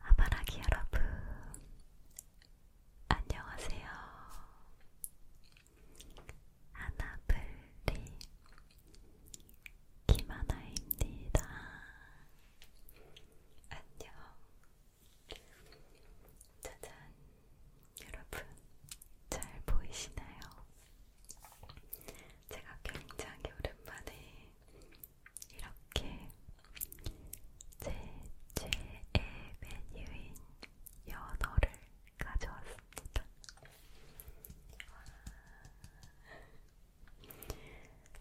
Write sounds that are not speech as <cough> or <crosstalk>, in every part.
아바라기 여러분, 안녕하세요. 하나블리 김하나입니다. 안녕. 짜잔, 여러분, 잘 보이시나요? 제가 굉장히 오랜만에 이렇게 제 최애 메뉴인 연어를 가져왔습니다.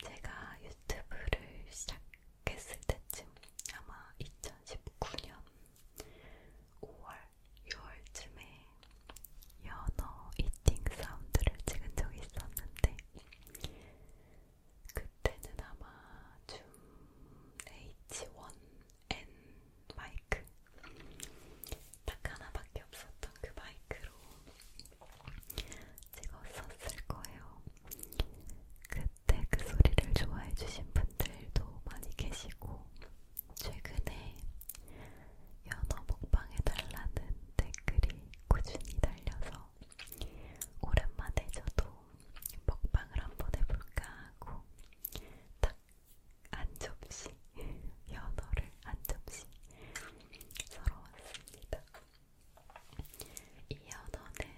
제가 유튜브를 시작했을 때쯤 아마 2019년 5월, 6월쯤에 연어 이팅 사운드를 찍은 적이 있었는데 그때는 아마 줌 H1N 마이크 딱 하나밖에 없었던 그 마이크로 찍었었을 거예요. 그때 그 소리를 좋아해주신 분들도 많이 계시고 최근에 연어 먹방해달라는 댓글이 꾸준히 달려서 오랜만에 저도 먹방을 한번 해볼까 하고 딱한 접시 연어를 한 접시 썰어왔습니다. 이 연어는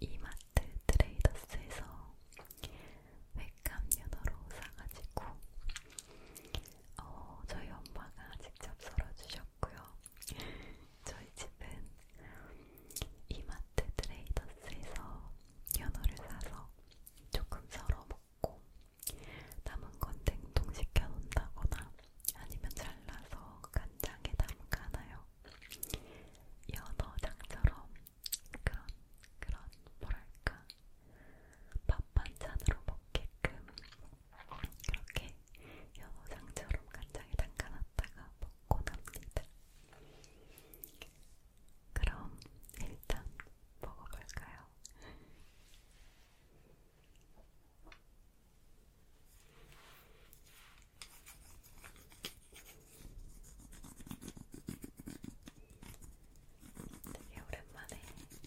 이마트 트레이더스에서 횟감 연어로 사가지고 어, 저희 엄마가 직접 썰어주셨고요. 저희 집은 이마트 트레이더스에서 연어를 사서 조금 썰어 먹고 남은 건 냉동시켜 놓는다거나 아니면 잘라서 간장에 담가나요. 연어장처럼 그런 그런 뭐랄까 밥 반찬으로 먹게끔 이렇게 연어장처럼 간장에 담가놨다가 먹고 납니다. 그럼 일단 먹어볼까요? 되게 오랜만에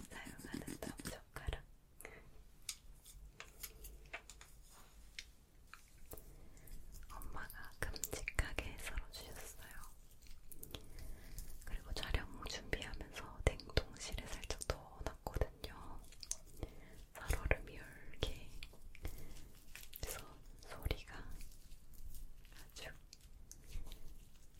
사용하는 덤 젓가락 엄마가 큼직하게 썰어주셨어요. 그리고 촬영 준비하면서 냉동실에 살짝 넣어놨거든요. 살얼음이 이렇게 그래서 소리가 아주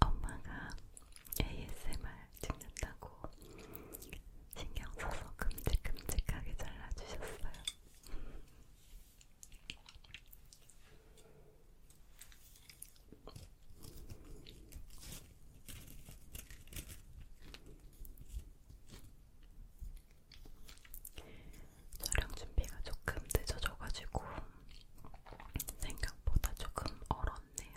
엄마가 ASMR 찍는다고 신경 써서 큼직큼직하게 잘라주셨어요. 촬영 준비가 조금 늦어져가지고 생각보다 조금 얼었네요.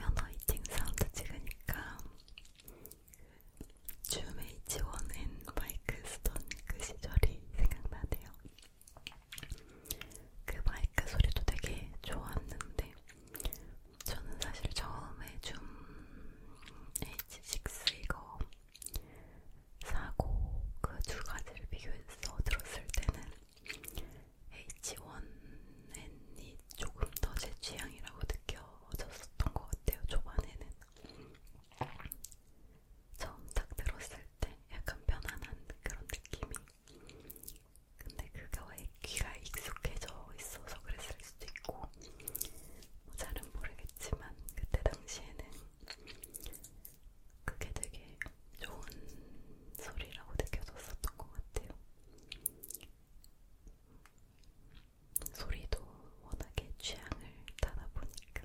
연어 이팅 사운드 찍으니까 줌에이치원앤 마이크 스톤 그 시절이 생각나네요. 그 마이크 소리도 되게 좋았는데 저는 사실 처음에 줌 H6 이거 사고 그 두 가지를 비교해서 들었을 때는 H1N이 조금 더 제 취향이라고 느껴졌었던 것 같아요. 초반에는 처음 딱 들었을 때 약간 편안한 그런 느낌이 근데 그거에 귀가 익숙해져 있어서 그랬을 수도 있고 뭐 잘은 모르겠지만 그때 당시에는 그게 되게 좋은 소리라고 느껴졌었던 것 같아요. 소리도 워낙에 취향을 타다 보니까.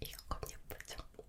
이거 겁 예쁘죠?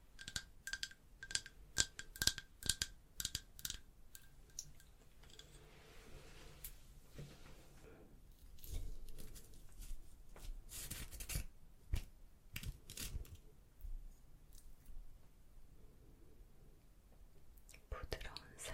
부드러운 살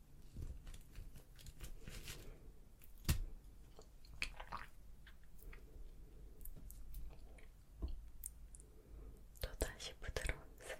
또다시 부드러운 색.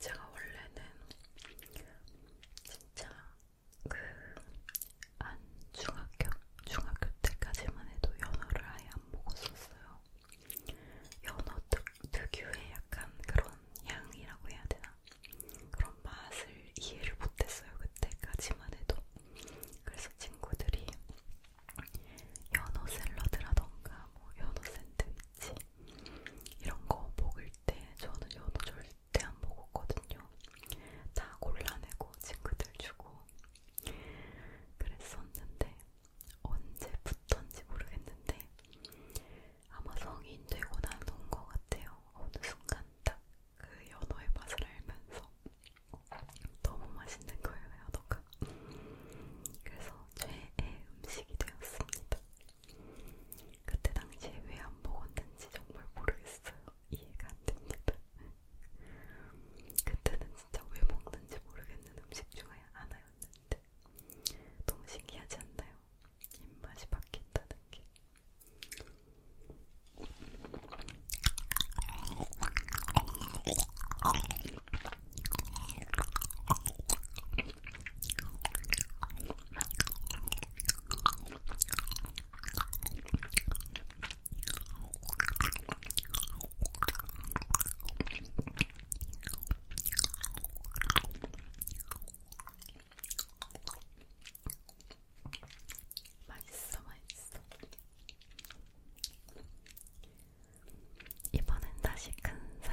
제가 원래는 진짜 그 안 중학교 중학교 때까지만 해도 연어를 아예 안 먹었었어요. 연어 특, 특유의 약간 그런 향이라고 해야 되나? 그런 맛을 이해를 못했어요. 그때까지만 해도. 그래서 친구들이 연어 샐러드라던가 뭐 연어 샌드위치 이런 거 먹을 때 저는 연어 절대 안 먹었거든요. 다 골라내고 친구들 주고 그랬었는데 언제부턴지 모르겠는데 아마 성인 되고 나서인 것 같아요. 어느 순간 딱 그 연어의 맛을 알면서 너무 맛있는 거예요, 연어가. 그래서 최애 음식이 되었습니다. 그때 당시에 왜 안 먹었는지 정말 모르겠어요. 이해가 안 됩니다. <laughs> 그때는 진짜 왜 먹는지 모르겠는 음식 중에 하나였어요. 나였는데 너무 신기하지 않나요? 입맛이 바뀐다는 게. 맛있어, 맛있어. 이번엔 다시 큰 살.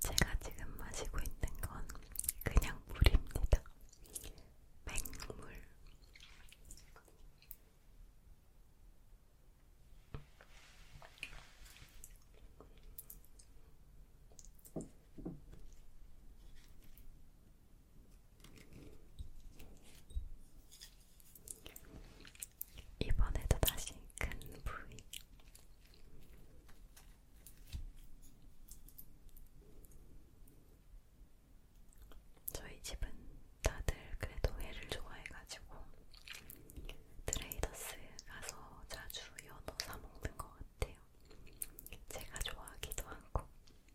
제가 지금 마시고 있는 건 그냥 물입니다. 맹물. 이번에도 다시 큰 부위. 저희 집은 다들 그래도 회를 좋아해가지고 트레이더스 가서 자주 연어 사먹는 것 같아요. 제가 좋아하기도 하고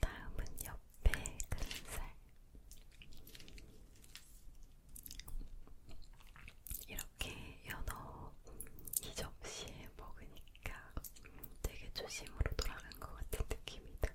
다음은 옆에 큰살 이렇게 연어 이 접시에 먹으니까 되게 조심으로 돌아간 것 같은 느낌이다.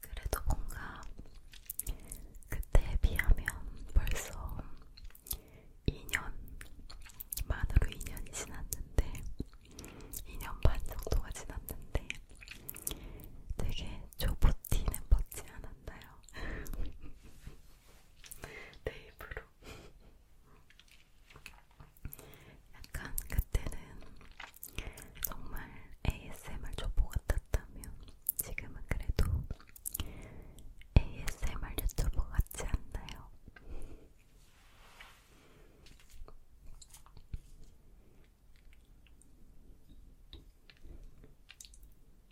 그래도 뭔가 그때에 비하면 벌써 2년, 만으로 2년이 지났는데, 2년 반 정도가 지났는데, 되게 조보티는 벗지 않았나요? <laughs> 내 입으로 약간 그때는 정말 ASMR 초보 같았다면 지금은 그래도 ASMR 유튜버 같지 않나요?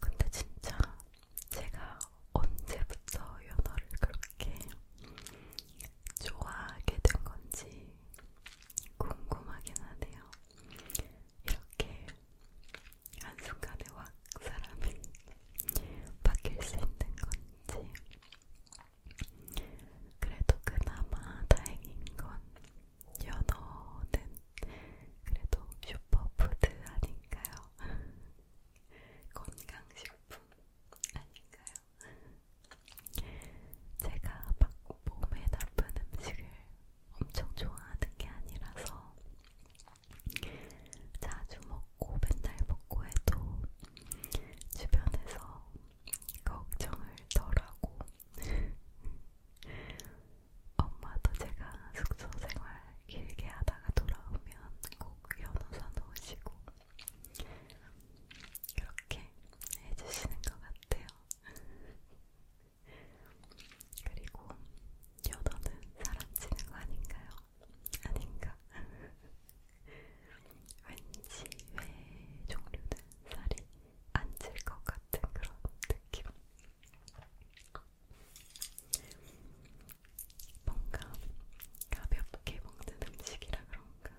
근데 진짜 제가 언제부터 연어를 그렇게 좋아하게 된 건지 궁금하긴 하네요. 이렇게 한순간에 확 사람이 <laughs> 바뀔 수 있는 건지 그래도 그나마 다행인 건 연어는 그래도 슈퍼푸드 아닌가요? <laughs> 건강식품 아닌가요? 제가 막 몸에 나쁜 음식을 엄청 좋아하는 게 아니라서 자주 먹 먹고 맨날 먹고 해도 주변에서 걱정을 덜하고 <laughs> 엄마도 제가 숙소 생활 길게 하다가 돌아오면 꼭 연어 사놓으시고 그렇게 해주시는 것 같아요. <laughs> 그리고 연어는 사람 치는 거 아닌가요? 아닌가? <laughs> 왠지 왜 종료된 살이 안 찔 것 같은 그런 느낌. 뭔가 가볍게 먹는 음식이라 그런가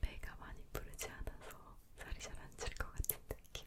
배가 많이 부르지 않아서 살이 잘 안 찔 것 같은 느낌.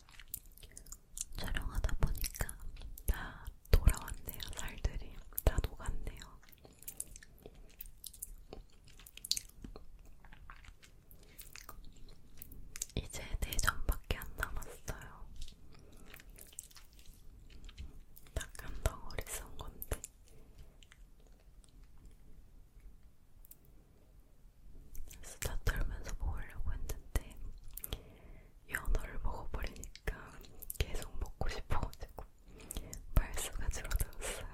촬영하다 보니까 다 돌아왔네요. 살들이 다 녹았네요. 이제 대전밖에 네 안 남았어요. 딱한 덩어리 쓴 건데. 수다 떨면서 먹으려고 했는데 연어를 먹어버리니까 계속 먹고 싶어가지고 발수가 줄어들었어요.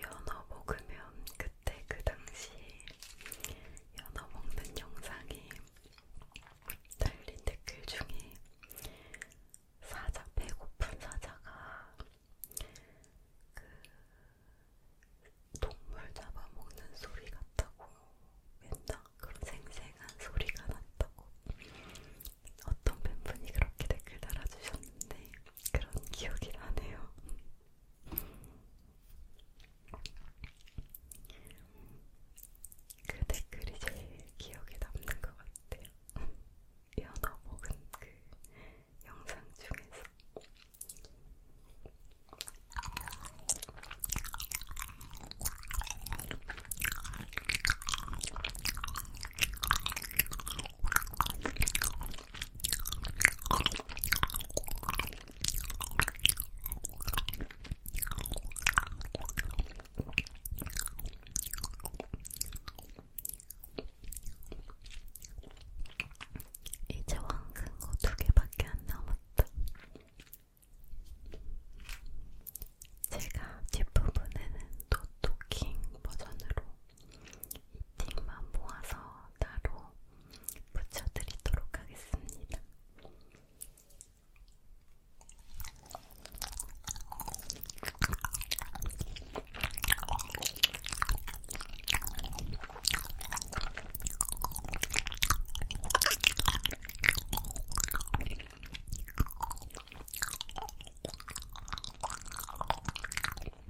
연어 먹으면 그때 그 당시 연어 먹는 영상이 달린 댓글 중에 사자 배고픈 사자가 그 동물 잡아먹는 소리 같다고 맨날 그런 생생한 소리가 났다고 어떤 팬분이 그렇게 댓글 달아주셨는데 그런 기억이 나네요. 그 댓글이 제일 기억에 남는 것 같아요. <laughs> 연어 먹은 그 영상 중에서. 이제 왕큰 거 두 개밖에 안 남았다. 제가 뒷부분에는 노토킹 버전으로 이팅만 모아서 따로 붙여드리도록 하겠습니다.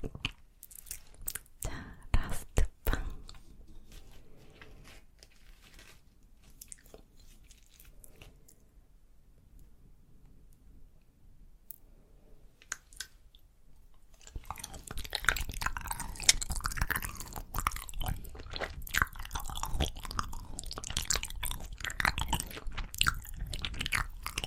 자, 라스트 빵.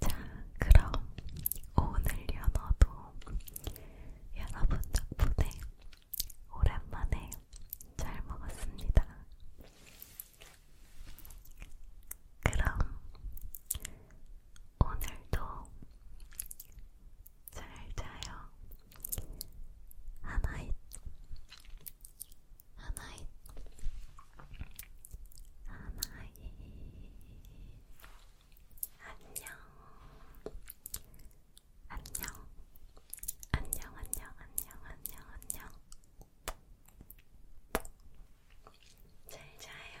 자, 그럼 오늘 연어도 여러분 덕분에 오랜만에 잘 먹었습니다. 그럼 오늘도 잘 자요. 하나잇, 하나잇, 하나잇. 안녕, 안녕, 안녕, 안녕, 안녕, 안녕, 안녕. 잘 자요.